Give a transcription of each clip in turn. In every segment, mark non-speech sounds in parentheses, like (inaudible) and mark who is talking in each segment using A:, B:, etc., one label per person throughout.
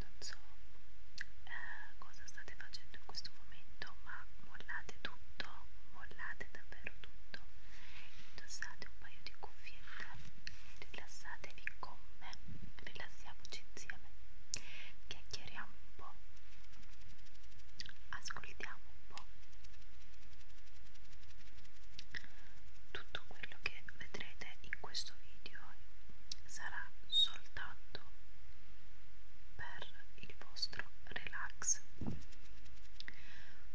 A: non so eh, cosa state facendo in questo momento ma mollate tutto mollate davvero tutto indossate un paio di cuffiette e rilassatevi con me rilassiamoci insieme chiacchieriamo un po' ascoltiamo un po' tutto quello che vedrete in questo video sarà soltanto per il vostro relax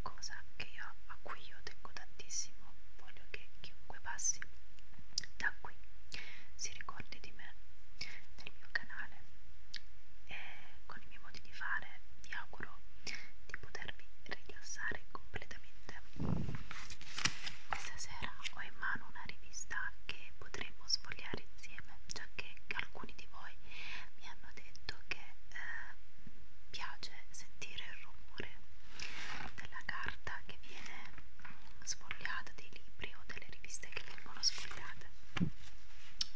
A: cosa che io a cui io tengo tantissimo voglio che chiunque passi da qui si ricordi di me del mio canale e con i miei modi di fare vi auguro di potervi rilassare completamente. Questa sera ho in mano una rivista che potremo sfogliare insieme, già che alcuni di voi mi hanno detto che eh, piace sentire il rumore della carta che viene mm, sfogliata, dei libri o delle riviste che vengono sfogliate.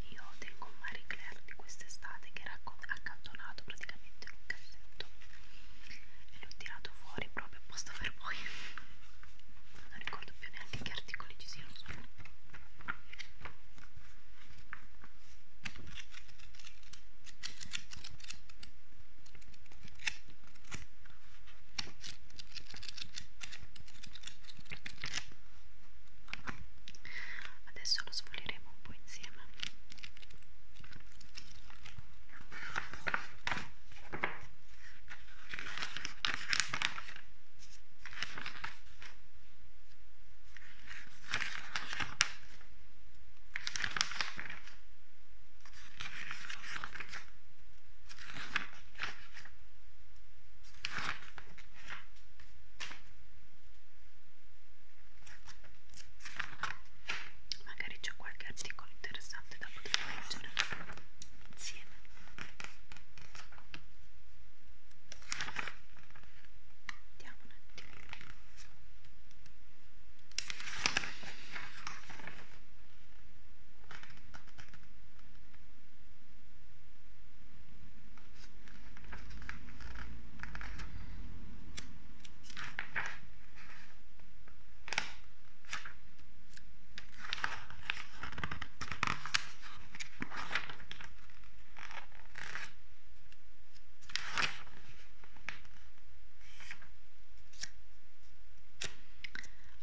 A: Io tengo un Marie Claire di quest'estate che era accantonato praticamente in un cassetto e l'ho tirato fuori proprio apposta per voi (laughs) non ricordo più neanche che articoli ci siano sopra adesso lo sfoglieremo un po' insieme Ecco magari c'è qualche articolo interessante da poter leggere insieme vediamo un attimo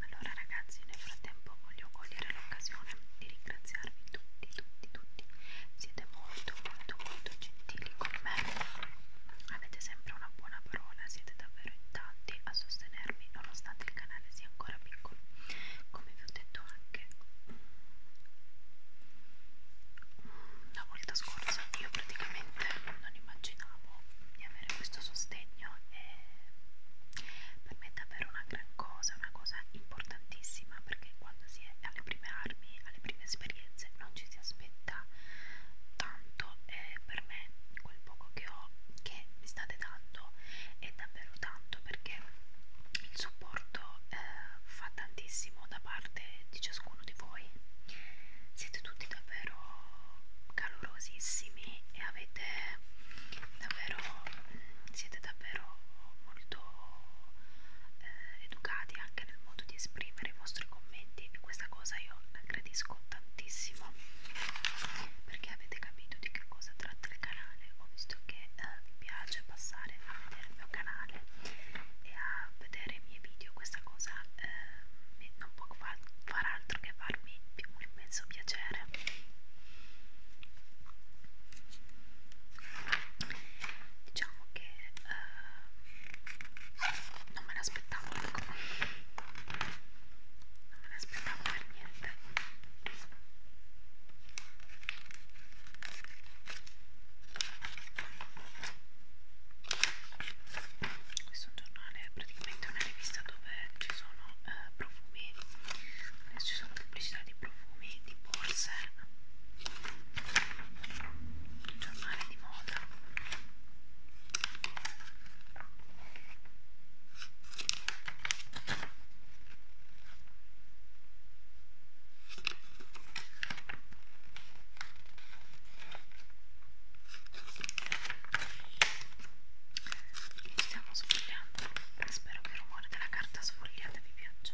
A: allora ragazzi, nel frattempo voglio cogliere l'occasione di ringraziarvi tutti, tutti, tutti tutti siete molto molto molto gentili con me avete sempre una buona parola siete davvero in tanti a sostenermi nonostante il canale sia ancora piccolo come vi ho detto anche mm, la volta scorsa io praticamente non immaginavo di avere questo sostegno e per me è davvero una gran cosa, una cosa importantissima perché che quando si è alle prime armi, alle prime esperienze, non ci si aspetta tanto e per me quel poco che ho, che mi state dando, è davvero tanto perché il supporto eh, fa tantissimo da parte di ciascuno di voi. Siete tutti davvero calorosissimi e avete davvero mm, siete davvero molto eh, educati anche nel modo di esprimere i vostri commenti e questa cosa io la gradisco tantissimo perché avete capito di che cosa tratta il canale ho visto che eh, vi piace passare a vedere il mio canale e a vedere i miei video questa cosa eh, non può far, far altro che farmi un immenso piacere diciamo che eh, non me l'aspettavo ecco non me l'aspettavo per niente questo è un giornale è praticamente una rivista dove ci sono eh, profumi adesso ci sono pubblicità di profumi profumi di Pulser un giornale di moda lo stiamo sfogliando Spero che il rumore della carta sfogliata vi piaccia.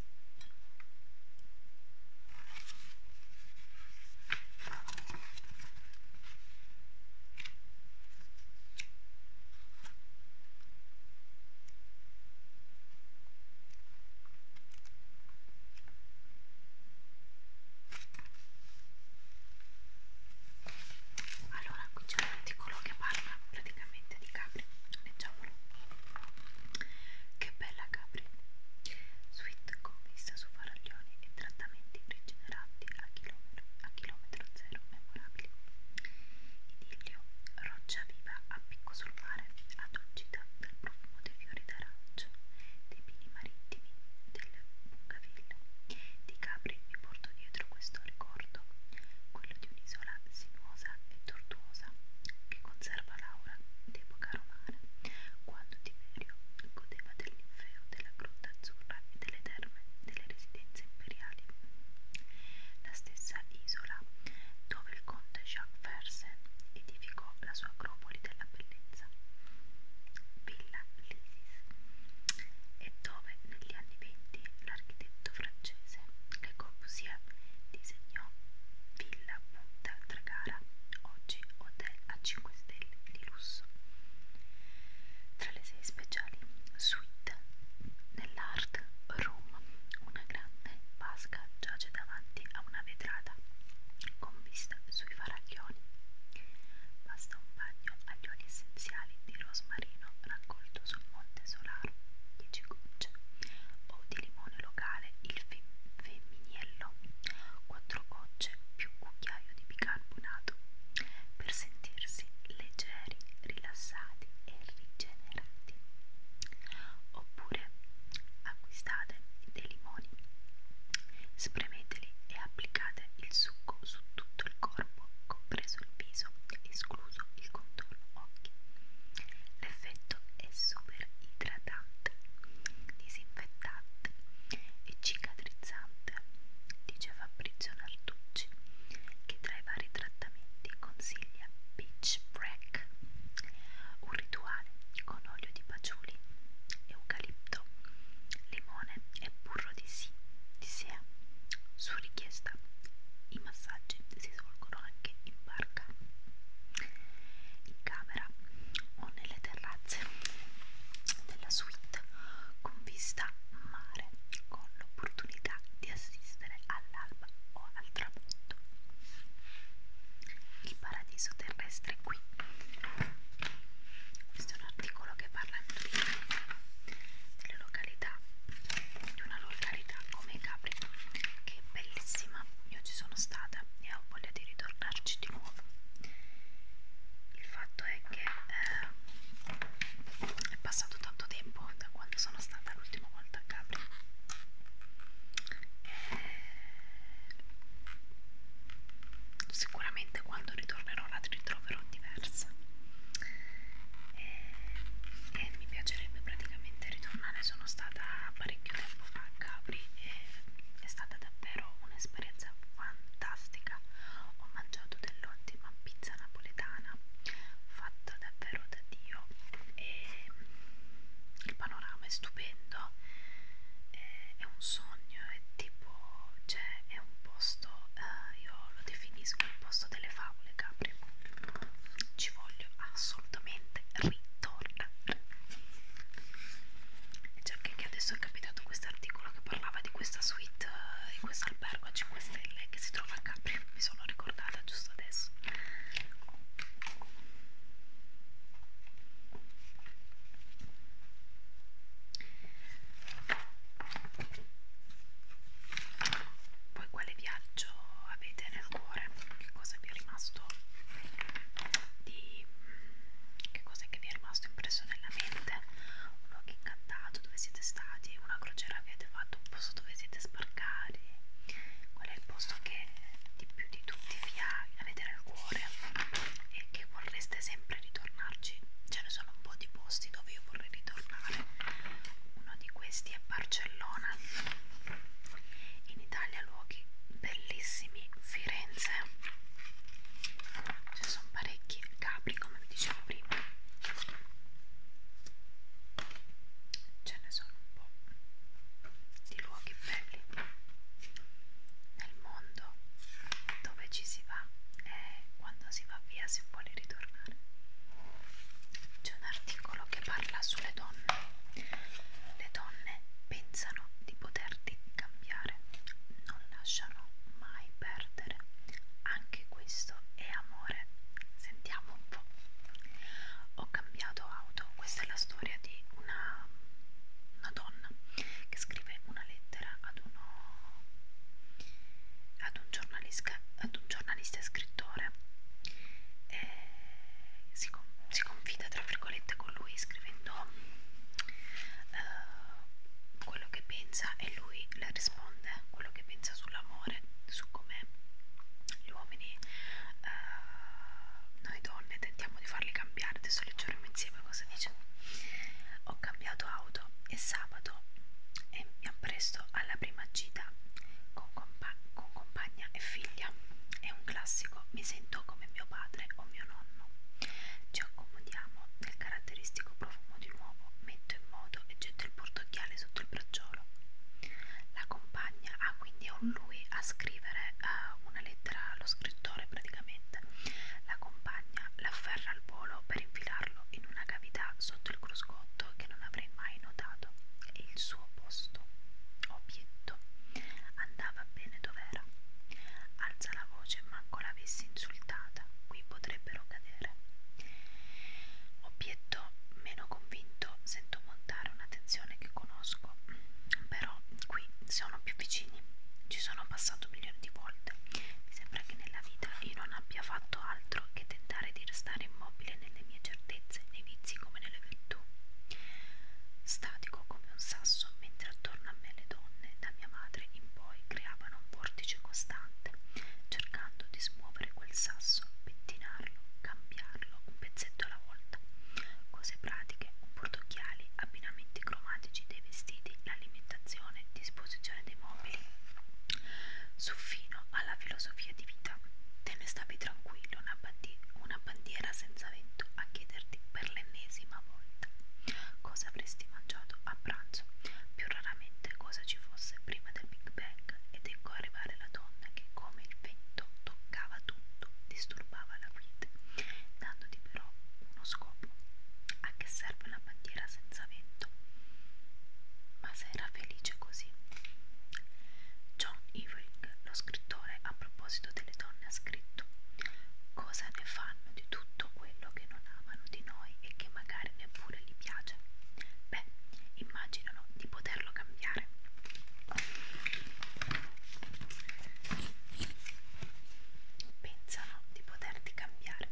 A: Allora qui c'è un articolo che parla praticamente di capri, leggiamolo. Che bella Capri! Suite con vista su faraglioni e trattamenti rigenerati a chilometro, a chilometro zero memorabili. Idillio, roccia viva a picco sul mare, addolcita dal profumo dei fiori d'arancio, dei pini marittimi, delle bungaville. Di Capri mi porto dietro questo ricordo, quello di un'isola sinuosa e tortuosa che conserva Laura d'epoca romana, quando Tiberio godeva dell'infeo della Grotta Azzurra e delle terme delle residenze imperiali. La stessa isola dove il conte Jacques Fersen edificò la sua acropoli della bellezza, Villa Lisis, e dove negli anni venti l'architetto francese Le Corbusier disegnò Villa Punta Tragara, oggi hotel a 5 stelle di lusso. Tra le sei speciali, suite nell'art room, una grande vasca giace davanti a una vetrata con vista sui faraglioni. Basta un bagno agli oli essenziali di rosmarino raccolto sul monte solaro, 10 gocce, o di limone locale, il fin femminiello, 4 gocce più un cucchiaio di bicarbonato per sentirsi leggeri, rilassati e rigenerati. Oppure acquistate dei limoni, spremeteli e applicate il succo su tutto il corpo, compreso il viso, escluso il contorno occhi. L'effetto è super idratante, disinfettante e cicatrizzante, dice Fabrizio Nartucci, che tra i vari trattamenti consiglia Beach Break, un rituale con olio di paciuli, eucalipto, limone e burro di si, di sea. Su richiesta i massaggi si svolgono anche in in barca, in camera o nelle terrazze della suite con vista mare, con l'opportunità di assistere all'alba o al tramonto. Il paradiso terrestre è qui. Questo è un articolo che parla in delle località, di una località come Capri, che è bellissima io ci sono stata e ho voglia di ritornarci di nuovo il fatto è che eh, è passato tanto tempo da quando sono stata l'ultima volta a Capri e sicuramente quando ritornerò la ritroverò diversa e, e mi piacerebbe praticamente ritornare sono stata da parecchio tempo fa a Capri e è stata davvero un'esperienza fantastica. Ho mangiato dell'ottima pizza napoletana fatta davvero da Dio e il panorama è stupendo, è, è un sogno, è tipo, cioè è un posto, eh, io lo definisco il posto delle favole Capri ci voglio assolutamente ritornare già cioè, che adesso è capitato questo articolo che parlava di questa suite uh, di questo albergo a 5 stelle che si trova a Capri mi sono ricordata giusto adesso poi quale viaggio avete nel cuore? Che cosa vi è rimasto di mm, che cosa è che vi è rimasto impresso nella mente? Un luogo incantato dove siete stati, una crociera che avete fatto, un posto dove siete sbarcati. Qual è il posto che di più di tutti vi ha, avete nel cuore e che vorreste sempre ritornarci? Ce ne sono un po' di posti dove io vorrei ritornare. Uno di questi è Barcellona in Italia luoghi bellissimi Firenze ce ne sono parecchi Capri come vi dicevo prima ce ne sono un po' di luoghi belli nel mondo dove ci si va e quando si va via si vuole ritornare c'è un articolo che parla sulle donne. Le donne pensano di poterti cambiare, non lasciano mai perdere. Anche questo è amore. Sentiamo un po'. Ho cambiato auto. Questa è la storia di una, una donna che scrive una lettera ad uno ad un giornalista, ad un giornalista e scrittore e eh, si, con, si confida tra virgolette con lui scrivendo uh, quello che pensa e lui le risponde quello che pensa sull'amore, su come gli uomini, uh, noi donne tentiamo di farli cambiare, adesso leggeremo insieme cosa dice. Ho cambiato auto e sabato e mi appresto alla prima gita con, con compa con compagna e figlia. È un classico, mi sento come mio padre o mio nonno. Ci accomodiamo nel caratteristico profumo di nuovo, metto in moto e getto il portocchiale sotto il bracciolo. La compagna ha ah, quindi un lui a scrivere uh, una lettera allo scrittore praticamente. La compagna l'afferra al volo per infilarlo in una cavità sotto il cruscotto vuoto che non avrei mai notato e il suo posto, obietto, andava bene dov'era. Alza la voce, manco l'avessi insultata, qui potrebbero cadere. Obietto, meno convinto, sento montare una tensione che conosco, però qui sono più vicini, ci sono passato milioni di volte. Mi sembra che nella vita io non abbia fatto altro che tentare di restare immobile credere nelle mie certezze, nei vizi come nelle virtù. Statico come un sasso, mentre attorno a me le donne, da mia madre in poi, creavano un vortice costante, cercando di smuovere quel sasso, pettinarlo, cambiarlo un pezzetto alla volta. Cose pratiche, un portocchiali, abbinamenti cromatici dei vestiti, l'alimentazione, disposizione dei mobili. Suffino alla filosofia di vita. Te ne stavi tranquillo, una, bandi una bandiera senza vento a chiederti per l'ennesima volta cosa avresti mangiato a pranzo, più raramente cosa ci fosse prima del Big Bang ed ecco arrivare la donna che come il vento toccava tutto, disturbava la vita, dandoti però uno scopo. A che serve una bandiera senza vento? ma se era felice così. John Ewing, lo scrittore, a proposito delle donne ha scritto Cosa ne fanno di tutto quello che non amano di noi e che magari neppure gli piace? Beh, immaginano di poterlo cambiare. Pensano di poterti cambiare.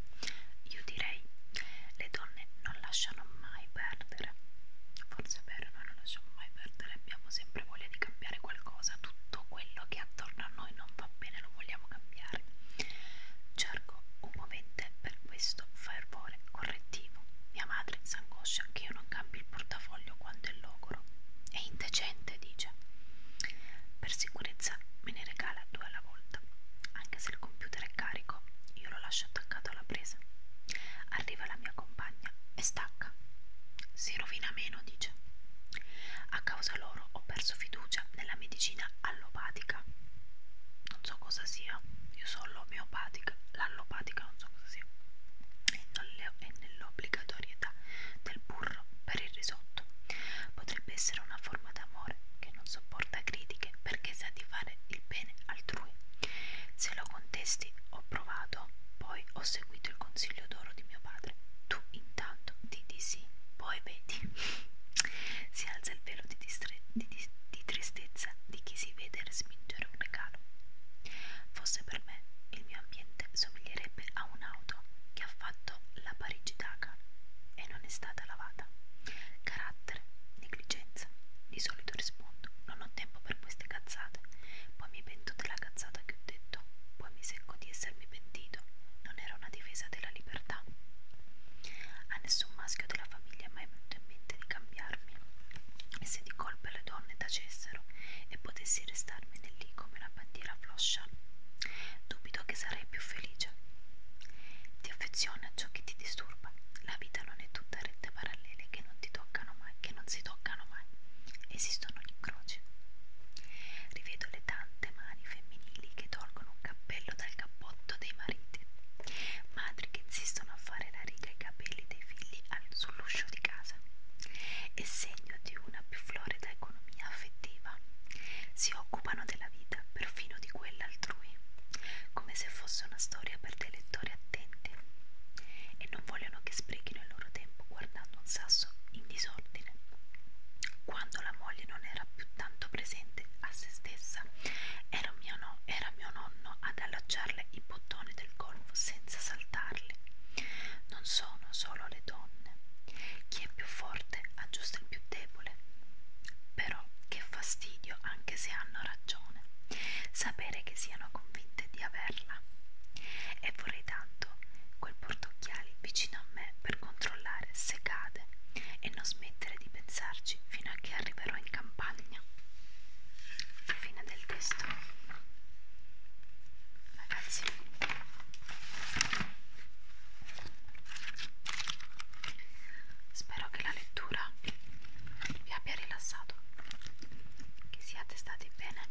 A: Io direi, le donne non lasciano mai perdere. Forse è vero, noi non lasciamo mai perdere, abbiamo sempre voglia di cambiare qualcosa, tutto quello che attorno a noi non va bene lo vogliamo cambiare. Cerco un movente per questo fervore correttivo. Mia madre s'angoscia che io non cambi il portafoglio quando è logoro. È indecente, dice. Per sicurezza me ne regala due alla volta. Anche se il computer è carico, io lo lascio attaccato alla presa. Arriva la mia compagna e stacca. Si rovina meno, dice. A causa loro ho perso fiducia nella medicina allopatica. Non so cosa sia, io so l'omeopatica, l'allopatica non so cosa sia. E nell'obbligatorietà del burro per il risotto potrebbe essere una forma d'amore che non sopporto porta critiche perché sa di fare il bene altrui. Se lo contesti, ho provato, poi ho seguito il consiglio d'oro di mio padre. Tu intanto ti di sì, poi vedi. si alza il velo di, di, di, di tristezza di chi si vede respingere un regalo. Fosse per me, il mio ambiente somiglierebbe a un'auto che ha fatto la Parigi-Daca e non è stata lavata. Carattere, negligenza. Di solito rispondo, non ho tempo per queste cazzate. Poi mi pento della cazzata che ho detto, poi mi secco di essermi pentito. Non era una difesa della libertà. A nessun maschio della famiglia è mai venuto in mente di cambiarmi. E se di colpe le donne tacessero e potessi restarmene lì come una bandiera floscia, dubito che sarei più felice. Ti affeziona a ciò che ti disturba. La vita non è tutta rette parallele che non ti toccano mai, che non si toccano mai. Esistono gli incroci. Rivedo le tante mani femminili che tolgono un cappello dal cappotto dei mariti. Madri che insistono a fare la riga ai capelli dei figli sull'uscio di casa. È segno di una più florida economia affettiva si occupano della vita, perfino di quella altrui, come se fosse una storia per dei lettori attenti, e non vogliono che sprechino il loro tempo guardando un sasso in disordine. Quando la moglie non era più tanto presente a se stessa, era mio, no, era mio nonno ad allacciarle i bottoni del golfo senza saltarli. Non sono solo le donne chi è più forte aggiusta il più debole. Però che fastidio anche se hanno ragione, sapere che siano convinte di averla. E vorrei tanto quel portocchiali vicino a me per controllare se cade e non smettere di pensarci fino a che arriverò in campagna. Fine del testo. Ragazzi Spero che la lettura vi abbia rilassato, che siate stati bene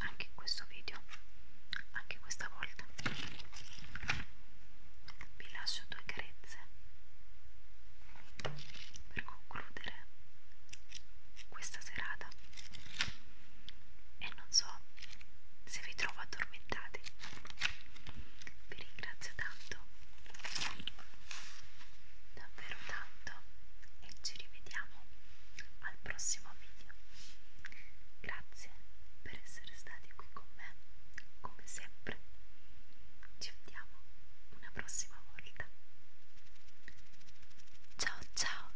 A: anche in questo video, anche questa volta. Vi lascio due carezze per concludere questa serata e non so se vi trovo addormentati vi ringrazio tanto davvero tanto e ci rivediamo al prossimo video grazie per essere stati qui con me come sempre ci vediamo una prossima volta ciao ciao